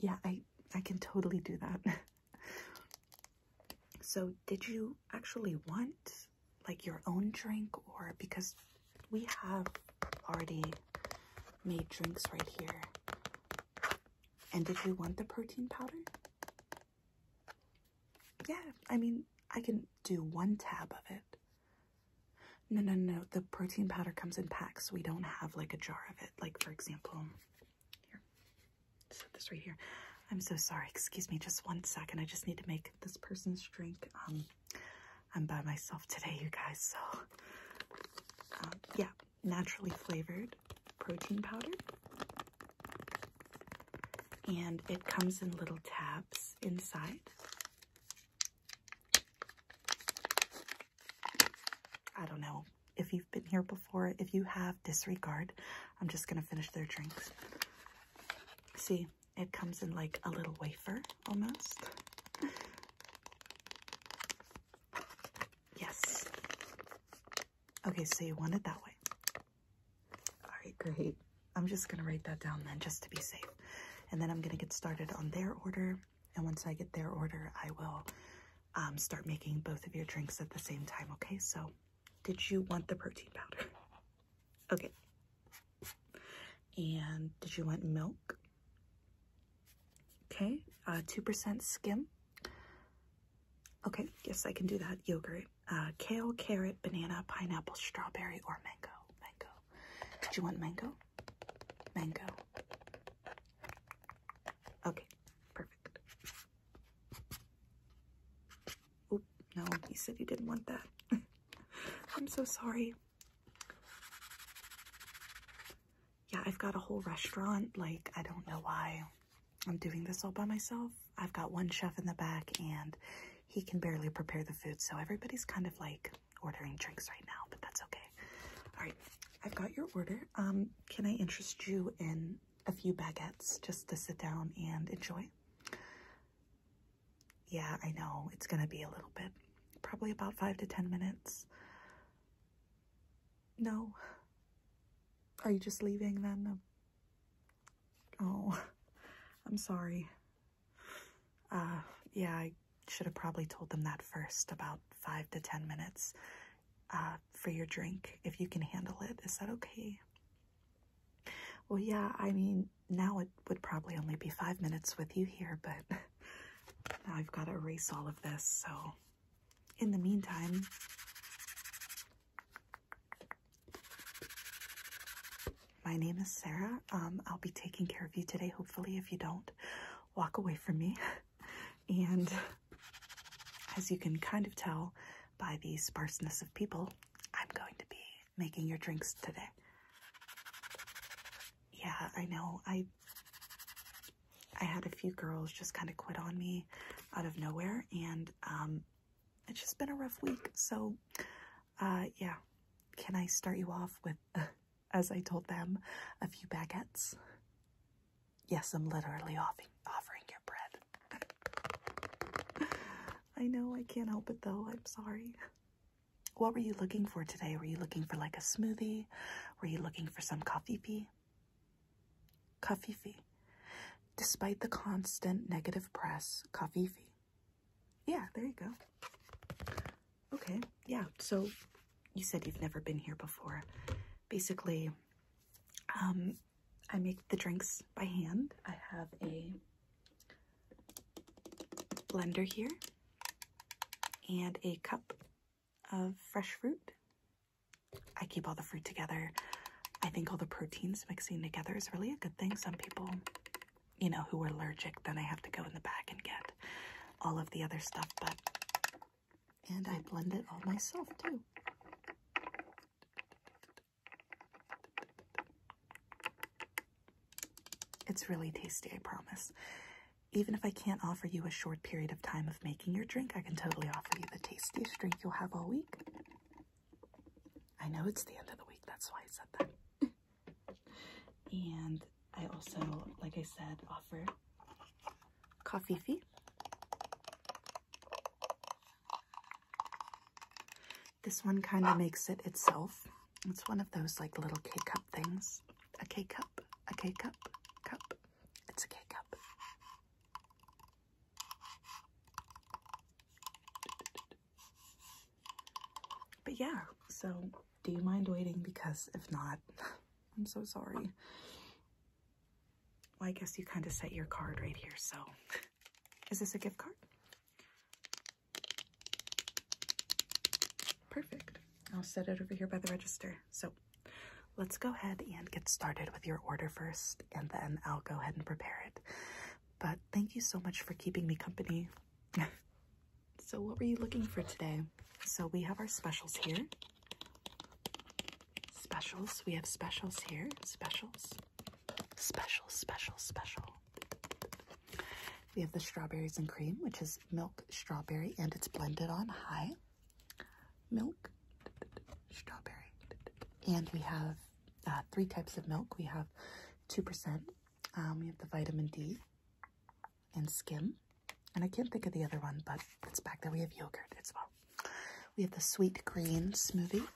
yeah, I I can totally do that. so, did you actually want like your own drink or because we have already made drinks right here. And did you want the protein powder? Yeah, I mean, I can do one tab of it. No, no, no, the protein powder comes in packs. We don't have like a jar of it. Like, for example, here, set this right here. I'm so sorry. Excuse me just one second. I just need to make this person's drink. Um, I'm by myself today, you guys. So, um, yeah, naturally flavored protein powder. And it comes in little tabs inside. I don't know if you've been here before. If you have, disregard. I'm just going to finish their drinks. See, it comes in like a little wafer almost. yes. Okay, so you want it that way. All right, great. I'm just going to write that down then just to be safe. And then I'm going to get started on their order. And once I get their order, I will um, start making both of your drinks at the same time. Okay, so did you want the protein powder? Okay. And did you want milk? Okay, uh, 2% skim. Okay, yes, I can do that. Yogurt, uh, kale, carrot, banana, pineapple, strawberry, or mango. Mango. Did you want mango? Mango. Okay, perfect. Oop, no, he said he didn't want that. I'm so sorry. Yeah, I've got a whole restaurant. Like, I don't know why I'm doing this all by myself. I've got one chef in the back and he can barely prepare the food. So everybody's kind of like ordering drinks right now, but that's okay. All right, I've got your order. Um, can I interest you in a few baguettes just to sit down and enjoy? Yeah, I know it's gonna be a little bit, probably about five to ten minutes. No, are you just leaving then? Oh, I'm sorry. Uh, yeah, I should have probably told them that first, about five to ten minutes uh, for your drink, if you can handle it. Is that okay? Well, yeah, I mean, now it would probably only be five minutes with you here, but now I've got to erase all of this, so in the meantime, my name is Sarah. Um, I'll be taking care of you today. Hopefully, if you don't walk away from me, and as you can kind of tell by the sparseness of people, I'm going to be making your drinks today. Yeah, I know. I I had a few girls just kind of quit on me out of nowhere, and um, it's just been a rough week. So, uh, yeah, can I start you off with uh, as I told them, a few baguettes. Yes, I'm literally offering, offering your bread. I know, I can't help it though. I'm sorry. What were you looking for today? Were you looking for like a smoothie? Were you looking for some coffee pee? Coffee fee. Despite the constant negative press, coffee fee. Yeah, there you go. Okay, yeah. So you said you've never been here before. Basically, um, I make the drinks by hand. I have a blender here and a cup of fresh fruit. I keep all the fruit together. I think all the proteins mixing together is really a good thing. Some people, you know, who are allergic, then I have to go in the back and get all of the other stuff. But and I blend it all myself too. It's really tasty, I promise. Even if I can't offer you a short period of time of making your drink, I can totally offer you the tastiest drink you'll have all week. I know it's the end of the week, that's why I said that. and I also, like I said, offer coffee fee. This one kind of makes it itself. It's one of those like little K-cup things. A K-cup, a K-cup, cup. It's a K-cup. But yeah, so do you mind waiting? Because if not... I'm so sorry. Well, I guess you kind of set your card right here, so. Is this a gift card? Perfect. I'll set it over here by the register. So let's go ahead and get started with your order first, and then I'll go ahead and prepare it. But thank you so much for keeping me company. So what were you looking for today? So we have our specials here. Specials. We have specials here. Specials. Special, special, special. We have the strawberries and cream, which is milk, strawberry, and it's blended on high. Milk, strawberry. And we have uh, three types of milk. We have 2%. Um, we have the vitamin D and skim. And I can't think of the other one, but it's back there. We have yogurt as well. We have the sweet green smoothie,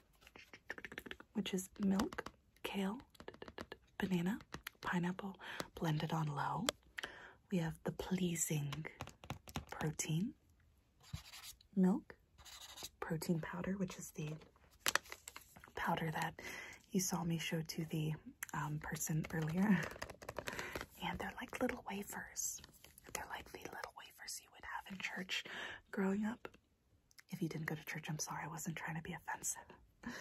which is milk, kale, banana, pineapple blended on low. We have the pleasing protein, milk, protein powder, which is the powder that you saw me show to the um, person earlier. And they're like little wafers. They're like the little wafers you would have in church growing up. If you didn't go to church, I'm sorry. I wasn't trying to be offensive.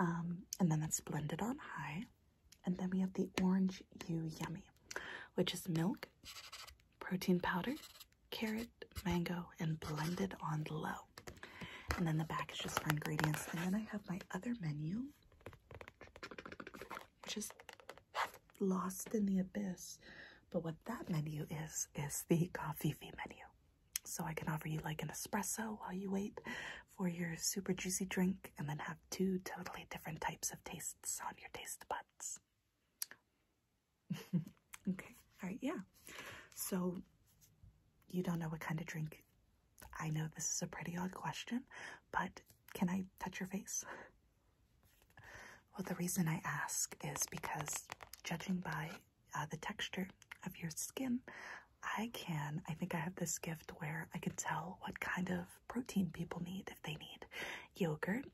Um, and then that's blended on high. And then we have the Orange You Yummy, which is milk, protein powder, carrot, mango, and blended on low. And then the back is just for ingredients. And then I have my other menu, you're just lost in the abyss. But what that menu is, is the coffee fee menu. So I can offer you like an espresso while you wait for your super juicy drink and then have two totally different types of tastes on your taste buds. okay, all right, yeah. So you don't know what kind of drink I know this is a pretty odd question, but can I touch your face? well, the reason I ask is because, judging by uh, the texture of your skin, I can. I think I have this gift where I can tell what kind of protein people need if they need yogurt,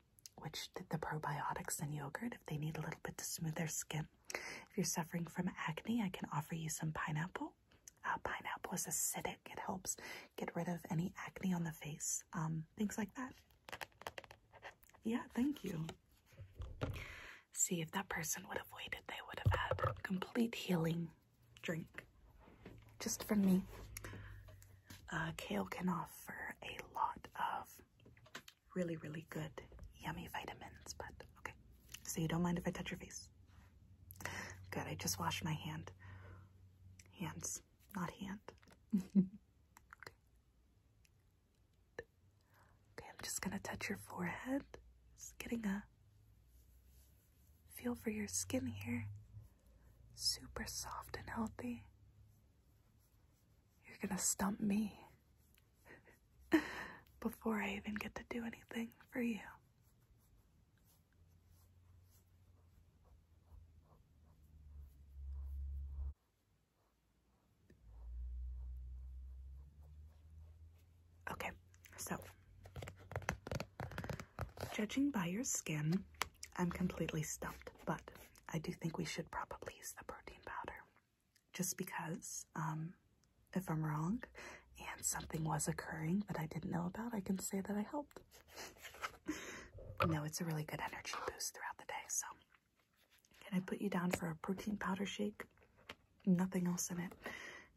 which the probiotics in yogurt, if they need a little bit to smooth their skin. If you're suffering from acne, I can offer you some pineapple. Uh, pineapple is acidic. It helps get rid of any acne on the face, um, things like that. Yeah, thank you. See, if that person would have waited, they would have had complete healing drink just from me. Uh, kale can offer a lot of really, really good, yummy vitamins, but okay. So you don't mind if I touch your face? Good, I just washed my hand. Hands, not hand. okay. okay, I'm just gonna touch your forehead. Just getting a feel for your skin here. Super soft and healthy. You're gonna stump me before I even get to do anything for you. Okay, so judging by your skin, I'm completely stumped, but I do think we should probably use the protein powder just because um, if I'm wrong and something was occurring that I didn't know about, I can say that I helped. no, it's a really good energy boost throughout the day. So, can I put you down for a protein powder shake? Nothing else in it,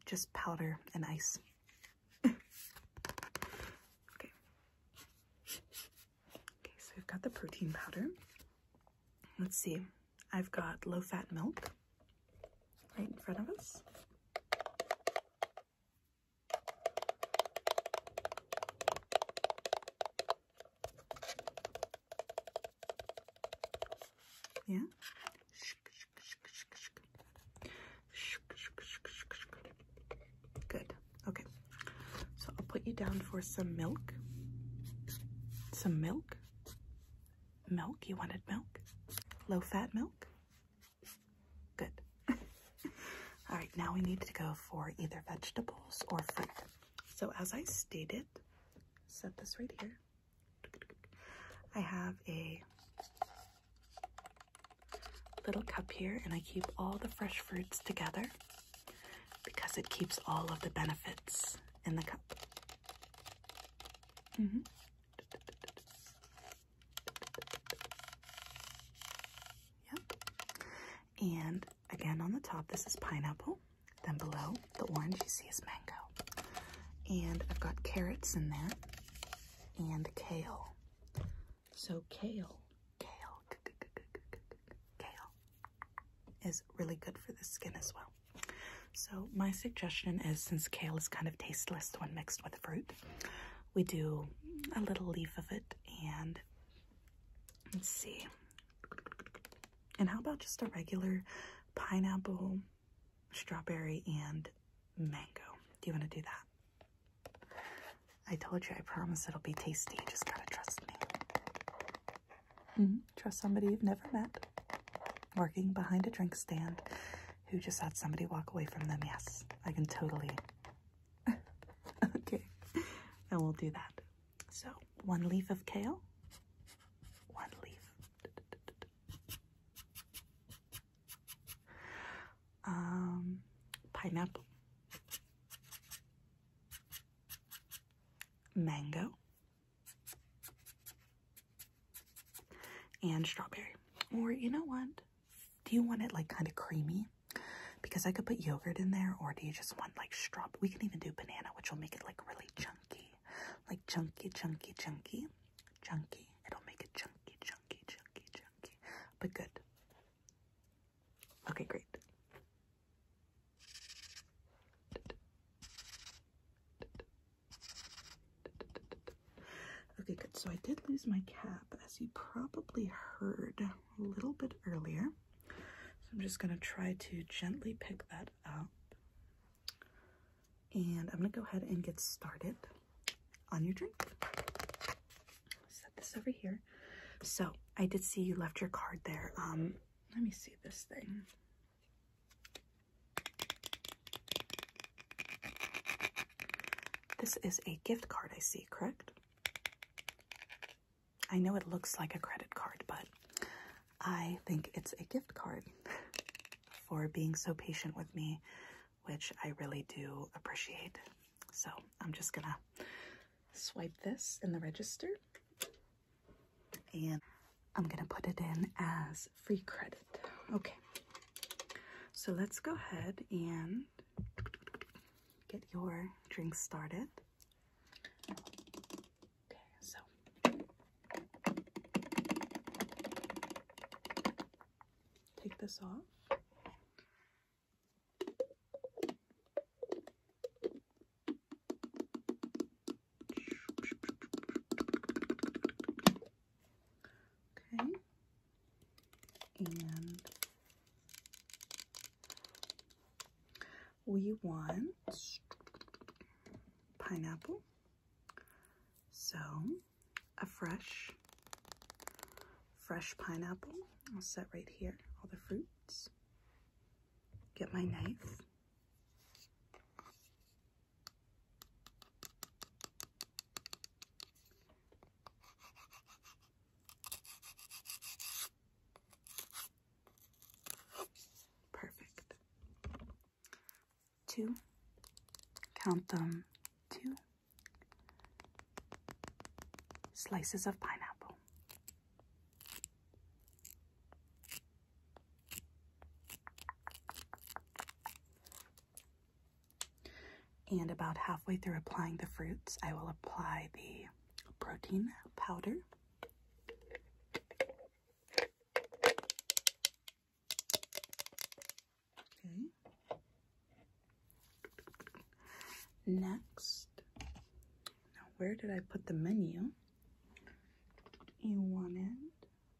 just powder and ice. okay. Okay, so we've got the protein powder. Let's see. I've got low fat milk right in front of us. Yeah. Good. Okay. So I'll put you down for some milk. Some milk. Milk, you wanted milk? Low fat milk? Good. All right, now we need to go for either vegetables or fruit. So, as I stated, set this right here. I have a little cup here and I keep all the fresh fruits together because it keeps all of the benefits in the cup. -hmm. Yep. And again, on the top, this is pineapple. Then below the orange, you see is mango. And I've got carrots in there and kale. So kale, kale, kale is really good for the skin as well. So, my suggestion is since kale is kind of tasteless when mixed with fruit, we do a little leaf of it and let's see. And how about just a regular pineapple, strawberry, and mango? Do you want to do that? I told you, I promise it'll be tasty. just gotta trust me. Mm-hmm, trust somebody you've never met working behind a drink stand who just had somebody walk away from them. Yes, I can totally. okay, and we will do that. So, one leaf of kale, one leaf. Um, pineapple, mango, and strawberry. Or you know what? Do you want it like kind of creamy? Because I could put yogurt in there, or do you just want like straw? We can even do banana, which will make it like really chunky, like chunky, chunky, chunky, chunky. It'll make it chunky, chunky, chunky, chunky, but good. Okay, great. Okay, good. So I did lose my cap, as you probably heard a little bit earlier. So I'm just going to try to gently pick that up. And I'm going to go ahead and get started on your drink. Set this over here. So I did see you left your card there. Um, let me see this thing. This is a gift card, I see, correct? I know it looks like a credit card, but I think it's a gift card for being so patient with me, which I really do appreciate. So I'm just gonna swipe this in the register and I'm going to put it in as free credit. Okay. So let's go ahead and get your drink started. Okay, so take this off. Okay. And we want pineapple. So a fresh, fresh pineapple. I'll set right here all the fruits. Get my knife. Perfect. Two. Count them. Two. Slices of pineapple. And about halfway through applying the fruits, I will apply the protein powder. Okay. Next, now where did I put the menu? You wanted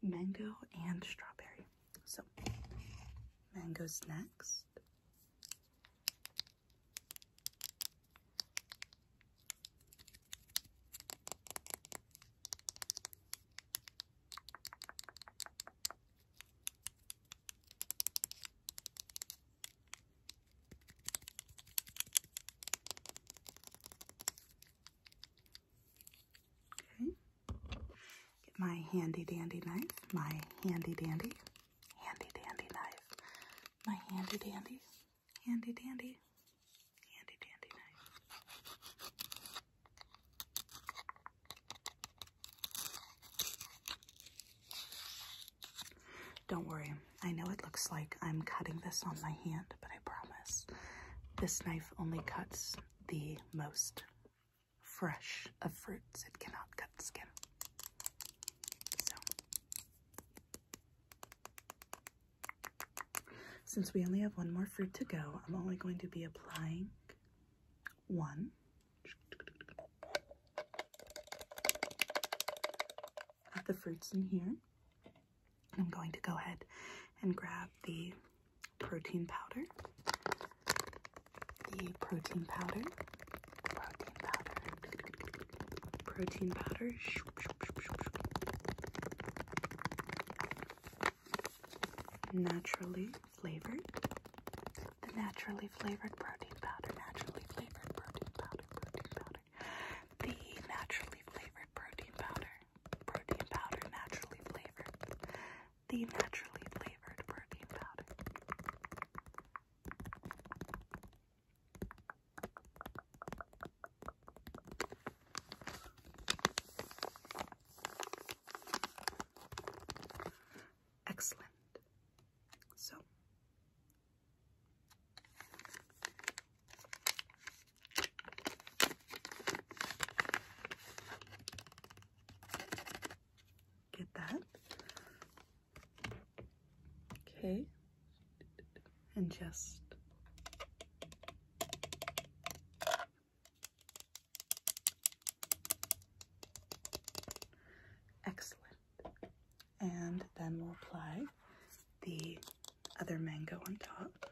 mango and strawberry. So, mango's next. Okay. Get my handy dandy knife. My handy dandy. Handy dandy knife. My handy dandy. Handy dandy. Handy dandy knife. Don't worry, I know it looks like I'm cutting this on my hand, but I promise this knife only cuts the most fresh of fruits. It cannot cut skin. So, since we only have one more fruit to go, I'm only going to be applying one. At the fruits in here, I'm going to go ahead and grab the protein powder. The protein powder. Protein powder. Protein powder. Naturally flavored. The naturally flavored protein powder. Naturally flavored protein powder. Protein powder. The naturally flavored protein powder. Protein powder, naturally flavored. The naturally flavored protein powder. Excellent. So Get that. Okay. And just excellent. And then we'll apply the other mango on top.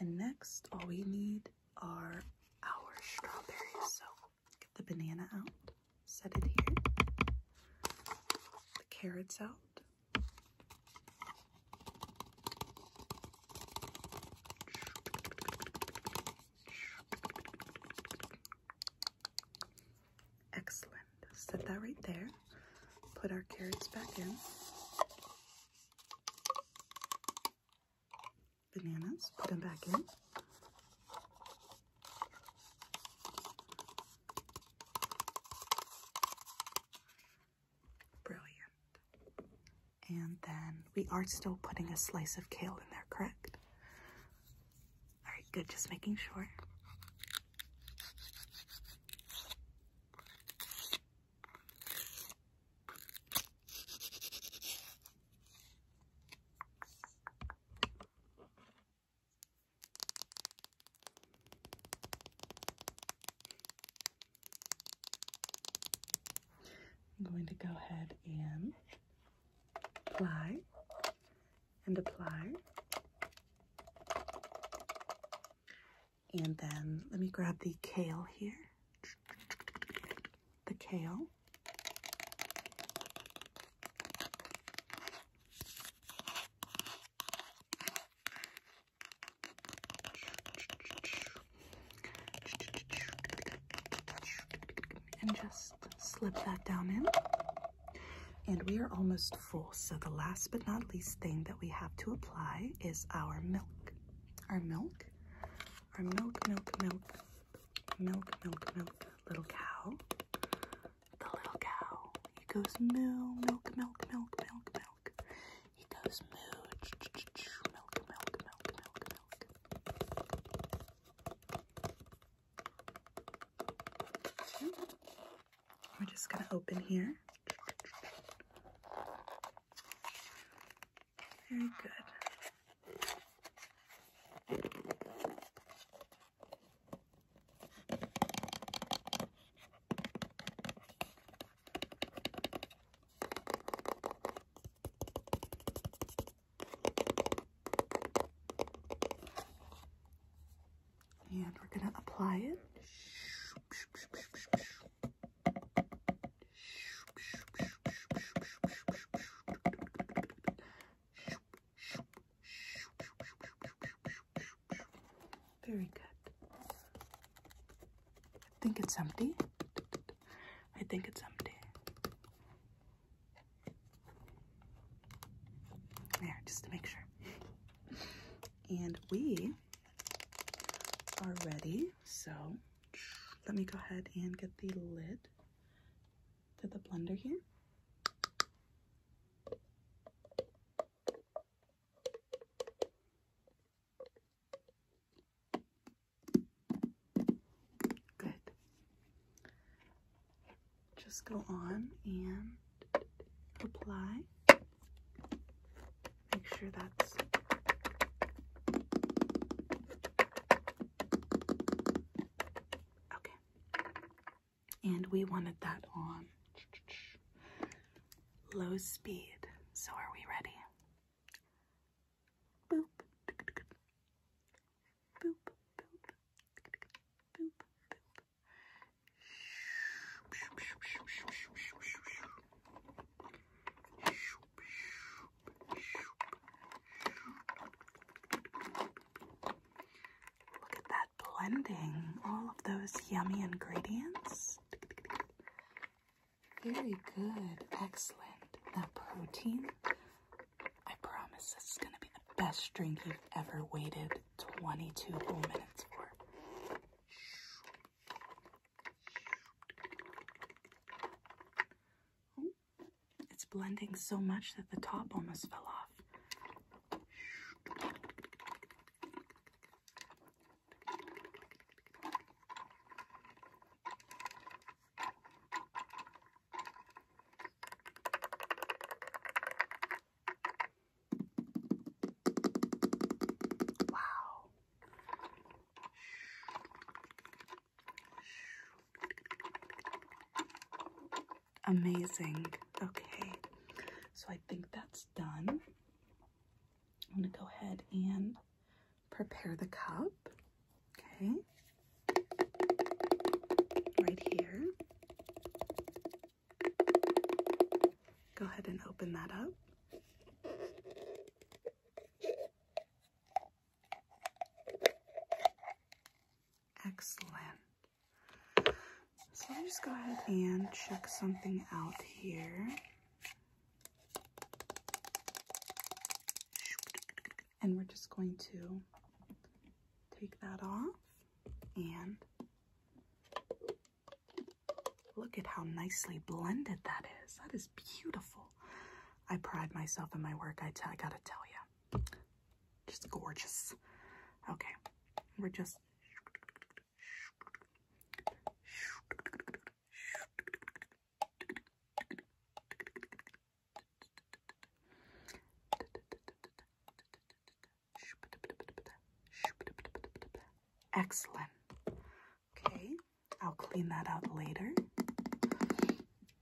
And next, all we need are our strawberries. So get the banana out, set it here, the carrots out. Excellent. Set that right there. Put our carrots back in. Bananas, put them back in. Brilliant. And then we are still putting a slice of kale in there, correct? All right, good. Just making sure. I'm going to go ahead and apply and apply and then let me grab the kale here. The kale. And just slip that down in. And we are almost so the last but not least thing that we have to apply is our milk. Our milk, our milk, milk, milk, milk, milk, milk, little cow. The little cow. He goes moo, milk, milk, milk, milk, milk. He goes moo, milk, milk, milk, milk, milk. We're just going to open here. Very good. And we're going to apply it. Very good. I think it's empty. I think it's empty. There, just to make sure and we are ready. So let me go ahead and get the lid to the blender here. Good. Just go on and apply. Make sure that's okay. And we wanted that on low speed. So are we ready? Look at that blending, all of those yummy ingredients. Very good, excellent. That protein, I promise this is going to be the best drink you've ever waited 22 whole minutes for. Oh, it's blending so much that the top almost fell off. Wow. Amazing. Okay, so I think that's done. I'm going to go ahead and prepare the cup. Okay, right here. Go ahead and open that up. Excellent. So i just go ahead and check something out here. And we're just going to take that off and Look at how nicely blended that is. That is beautiful. I pride myself in my work, I, I gotta tell you. Just gorgeous. Okay, we're just. Excellent. Okay, I'll clean that out later.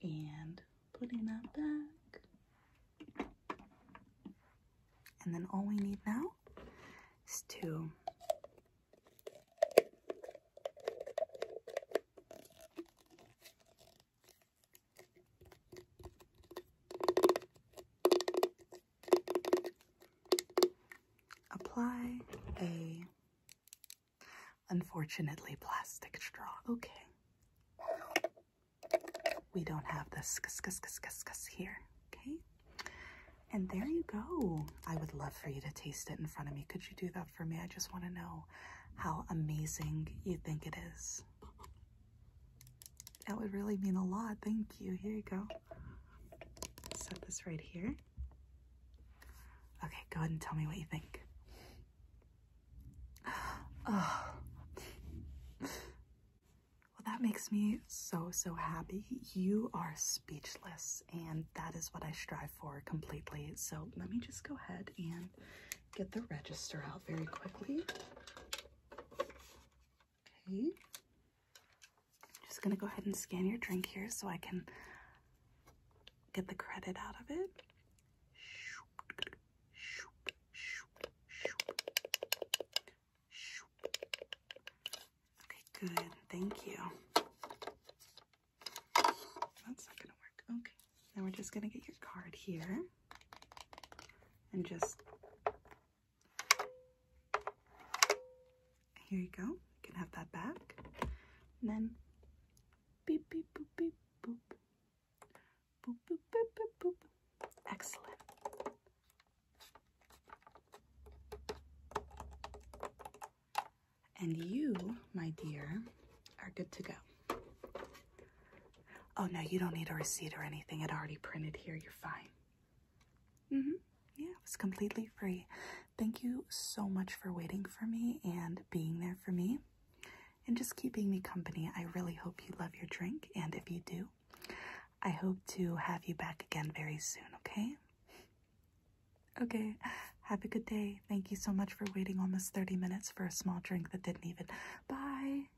And putting that back. And then all we need now is to Apply a unfortunately plastic straw. Okay. We don't have the skus here. Okay. And there you go. I would love for you to taste it in front of me. Could you do that for me? I just want to know how amazing you think it is. That would really mean a lot. Thank you. Here you go. Set this right here. Okay, go ahead and tell me what you think. Oh. Well, that makes me so, so happy. You are speechless, and that is what I strive for completely. So let me just go ahead and get the register out very quickly. Okay. Just gonna go ahead and scan your drink here so I can get the credit out of it. Okay, good. Thank you. That's not gonna work. Okay. Now we're just gonna get your card here and just here you go. You can have that back. And then beep, beep, boop, beep, boop. Boop, boop, boop, boop, boop. Excellent. And you, my dear, are good to go. Oh, no, you don't need a receipt or anything. It already printed here. You're fine. Mm -hmm. Yeah, it was completely free. Thank you so much for waiting for me and being there for me and just keeping me company. I really hope you love your drink, and if you do, I hope to have you back again very soon, okay? Okay, have a good day. Thank you so much for waiting almost 30 minutes for a small drink that didn't even. Bye!